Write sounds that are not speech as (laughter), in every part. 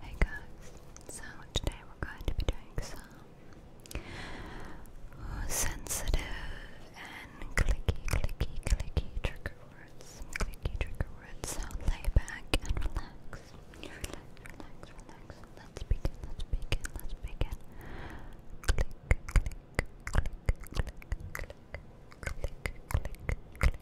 Hey guys, so today we're going to be doing some sensitive and clicky, clicky, clicky trigger words. Clicky trigger words. So lay back and relax. Relax, relax, relax. Let's begin, let's begin, let's begin. Click, click, click, click, click, click, click.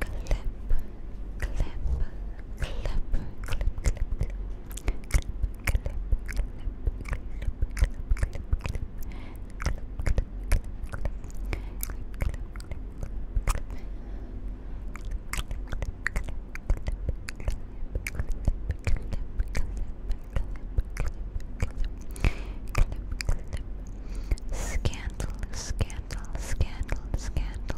clip, clip, clip, clip, clip, clip, clip, Scandal, scandal, scandal, scandal,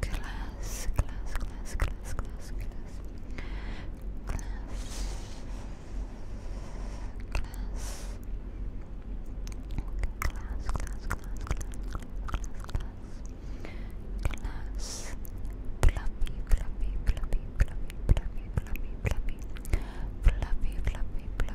Class, class, class, class, class, class. Class. Class. Okay, class, class, class, class, class, class, class. Fluffy, fluffy, fluffy, fluffy, fluffy, fluffy, fluffy. Fluffy, fluffy, fluffy,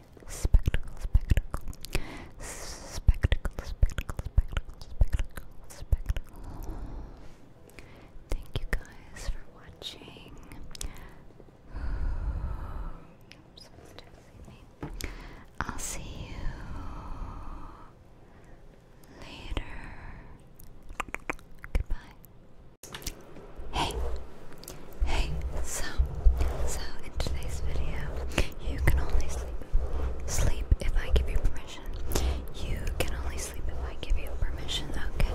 spectacle, spectacle, spectacle, spectacle, spectacle, spectacle, Thank you guys for watching. I'll see you later. Goodbye. Hey, hey, so, so in today's video, you can only sleep, sleep if I give you permission. You can only sleep if I give you permission, okay?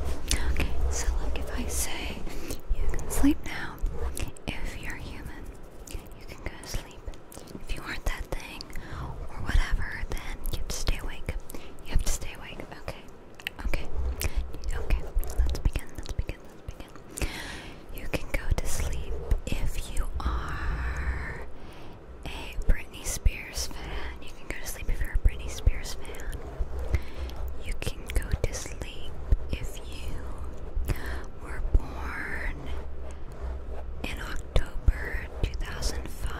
Okay, so like if I say, you can sleep now, if you're human, you can go to sleep. If you aren't that thing, or whatever, then you have to stay awake. You have to stay awake, okay? Okay, okay, let's begin, let's begin, let's begin. You can go to sleep if you are a Britney Spears fan. You can go to sleep if you're a Britney Spears fan. You can go to sleep if you were born in October 2005.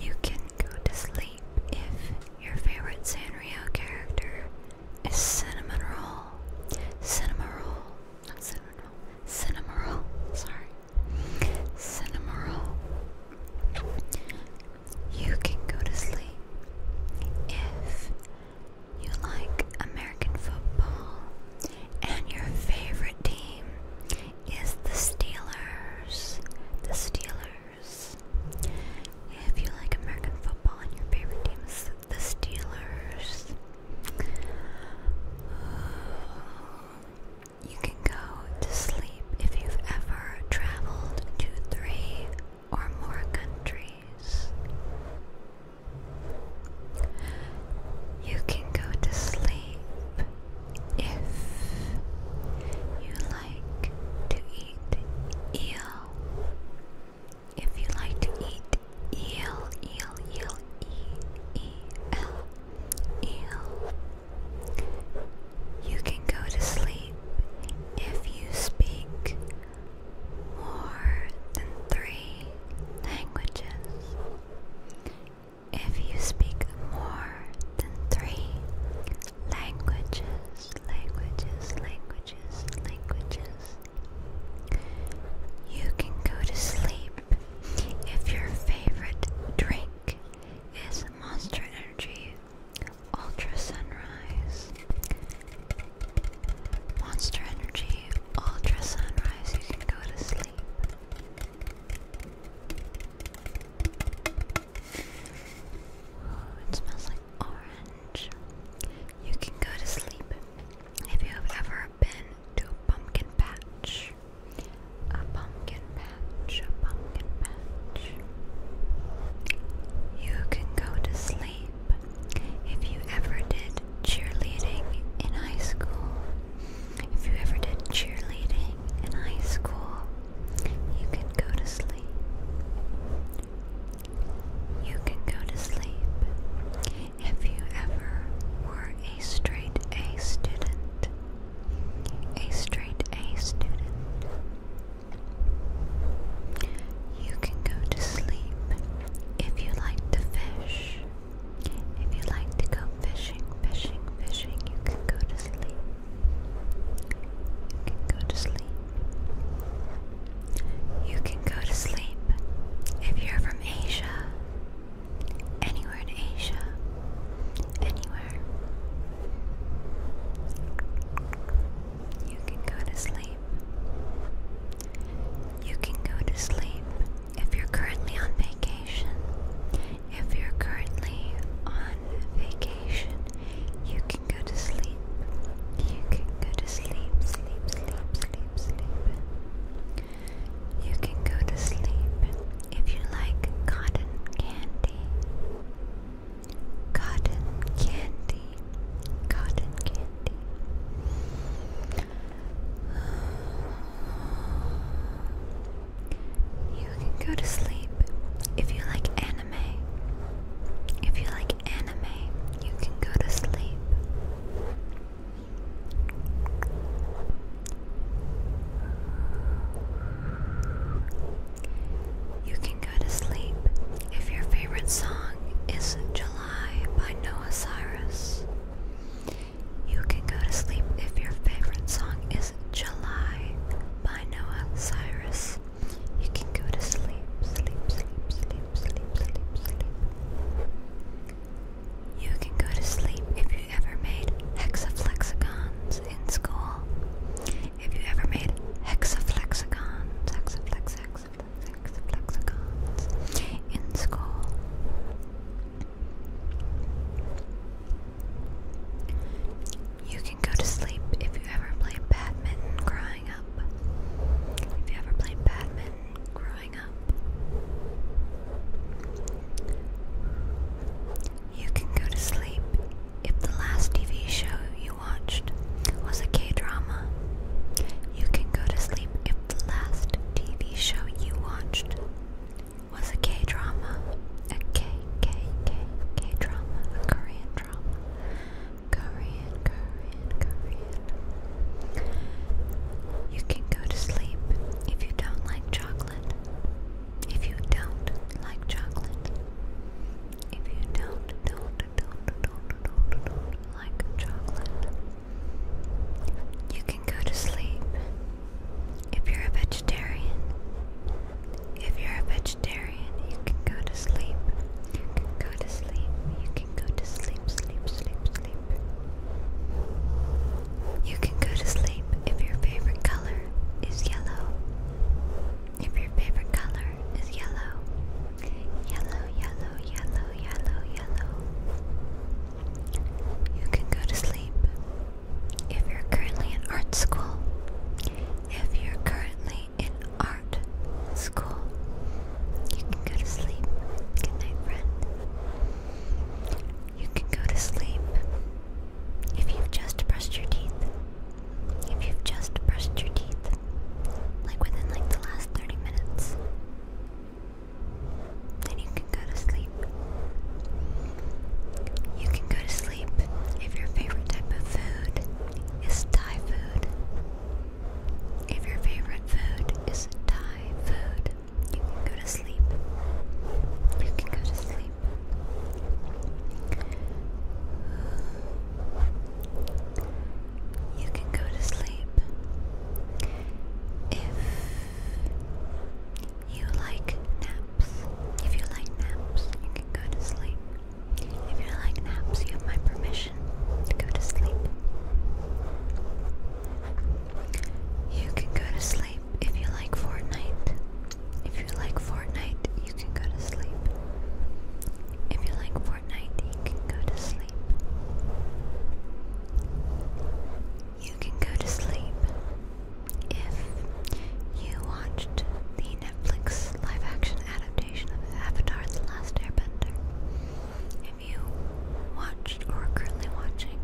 You can go to sleep if your favorite Sanrio character is Cinnamon Roll. Cinnamon Roll. Not Cinnamon Roll. Cinnamon Roll. Sorry. Cinnamon Roll. You can go to sleep if you like American football and your favorite team is the Steelers. The Steelers. If you like American football and your favorite team is the Steelers, you can go to sleep if you've ever traveled to three or more countries. You can go to sleep if you like to eat eel? If you like to eat eel, eel, eel, e, e, l, eel, you can go to sleep if you speak more than three languages. If you speak more than three languages, languages, languages, languages. You can go to sleep if your favorite drink is Monster Energy Ultra Sunrise. Monster Energy Ultra Sunrise, you can go to sleep it smells like orange. You can go to sleep if you have ever been to a pumpkin patch. A pumpkin patch, a pumpkin patch. You can go to sleep if you ever did cheerleading in high school. If you ever did cheerleading in high school, you can go to sleep. You can go to sleep. If you ever were a straight A student, a straight A student, you can go to sleep if you like to fish. If you like to go fishing, fishing, fishing, you can go to sleep. You can go to sleep. You can go to sleep if you're from Asia, anywhere in Asia, anywhere. You can go to sleep. You can go to sleep if you're currently on vacation. If you're currently on vacation, you can go to sleep. You can go to sleep, sleep, sleep, sleep, sleep. You can go to sleep if you like cotton candy. Cotton candy. Cotton candy. (sighs) You can go to sleep if you like anime. If you like anime, you can go to sleep. You can go to sleep if your favorite song is July by Noah Cyrus. You can go to sleep if your favorite song is July by Noah Cyrus. You can go to sleep, sleep, sleep, sleep, sleep, sleep, sleep. You can go to sleep if you ever made hexaflexagons in school. If you ever made hexaflexagons, hexaflex, hexaflex, hexaflexagons in school. You can go to sleep if you ever played badminton growing up. If you ever played badminton growing up. You can go to sleep if the last TV show you watched was a K drama. You can go to sleep if the last TV show you watched was a K drama, a K K K K drama, a Korean drama, Korean, Korean, Korean. You can go to sleep if you don't like chocolate. If you don't like chocolate. If you don't, don't, don't, don't, don't, don't like chocolate. You can go to sleep if you're a vegetarian. If you're a vegetarian, you can go to sleep. You can go to sleep. You can go to sleep, sleep, sleep, sleep. You can go to sleep if your favorite color is yellow. If your favorite color is yellow. Yellow, yellow, yellow, yellow, You can go to sleep if you're currently in art school, if you're currently in art school, you can go to sleep. Good night, friend. You can go to sleep if you've just brushed your teeth. If you've just brushed your teeth, like within like the last 30 minutes, then you can go to sleep. You can go to sleep if your favorite type of food is Thai food. If your favorite food is Thai food, you can go to sleep. You can go to sleep. You can go to sleep if you like naps. If you like naps, you can go to sleep. If you like naps, you have my permission to go to sleep. You can go to sleep if you like Fortnite. If you like Fortnite, you can go to sleep. If you like Fortnite, you can go to sleep you can go to sleep. If you watched the Netflix live action adaptation of Avatar The Last Airbender, if you watched or are currently watching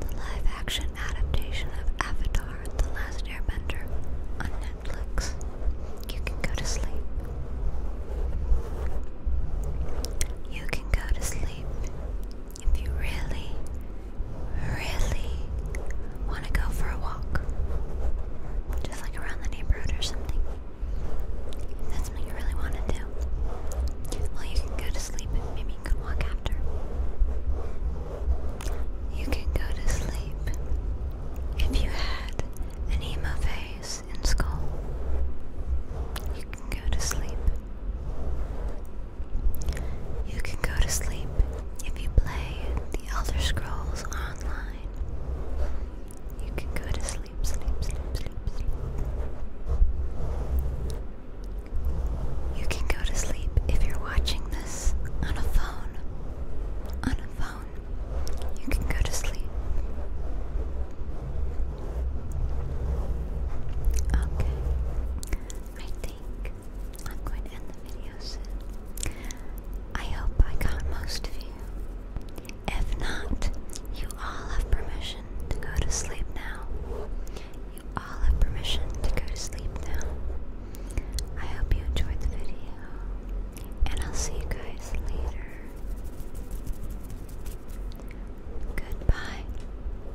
the live action adaptation of Avatar The Last Airbender on Netflix, you can go to sleep. You can go to sleep if you really, really want to go for a walk, just like around the neighborhood or something, that's what you really want to do, well, you can go to sleep maybe you can walk after. You can go to sleep if you had an emo phase in school. You can go to sleep you can go to sleep if you play The Elder Scrolls Online. You can go to sleep, sleep, sleep, sleep, sleep. You can go to sleep if you're watching this on a phone. On a phone, you can go to sleep. Okay. I think I'm going to end the video soon. I hope I got most of you. If not, you all have permission to go to sleep now. You all have permission to go to sleep now. I hope you enjoyed the video, and I'll see you guys later. Goodbye.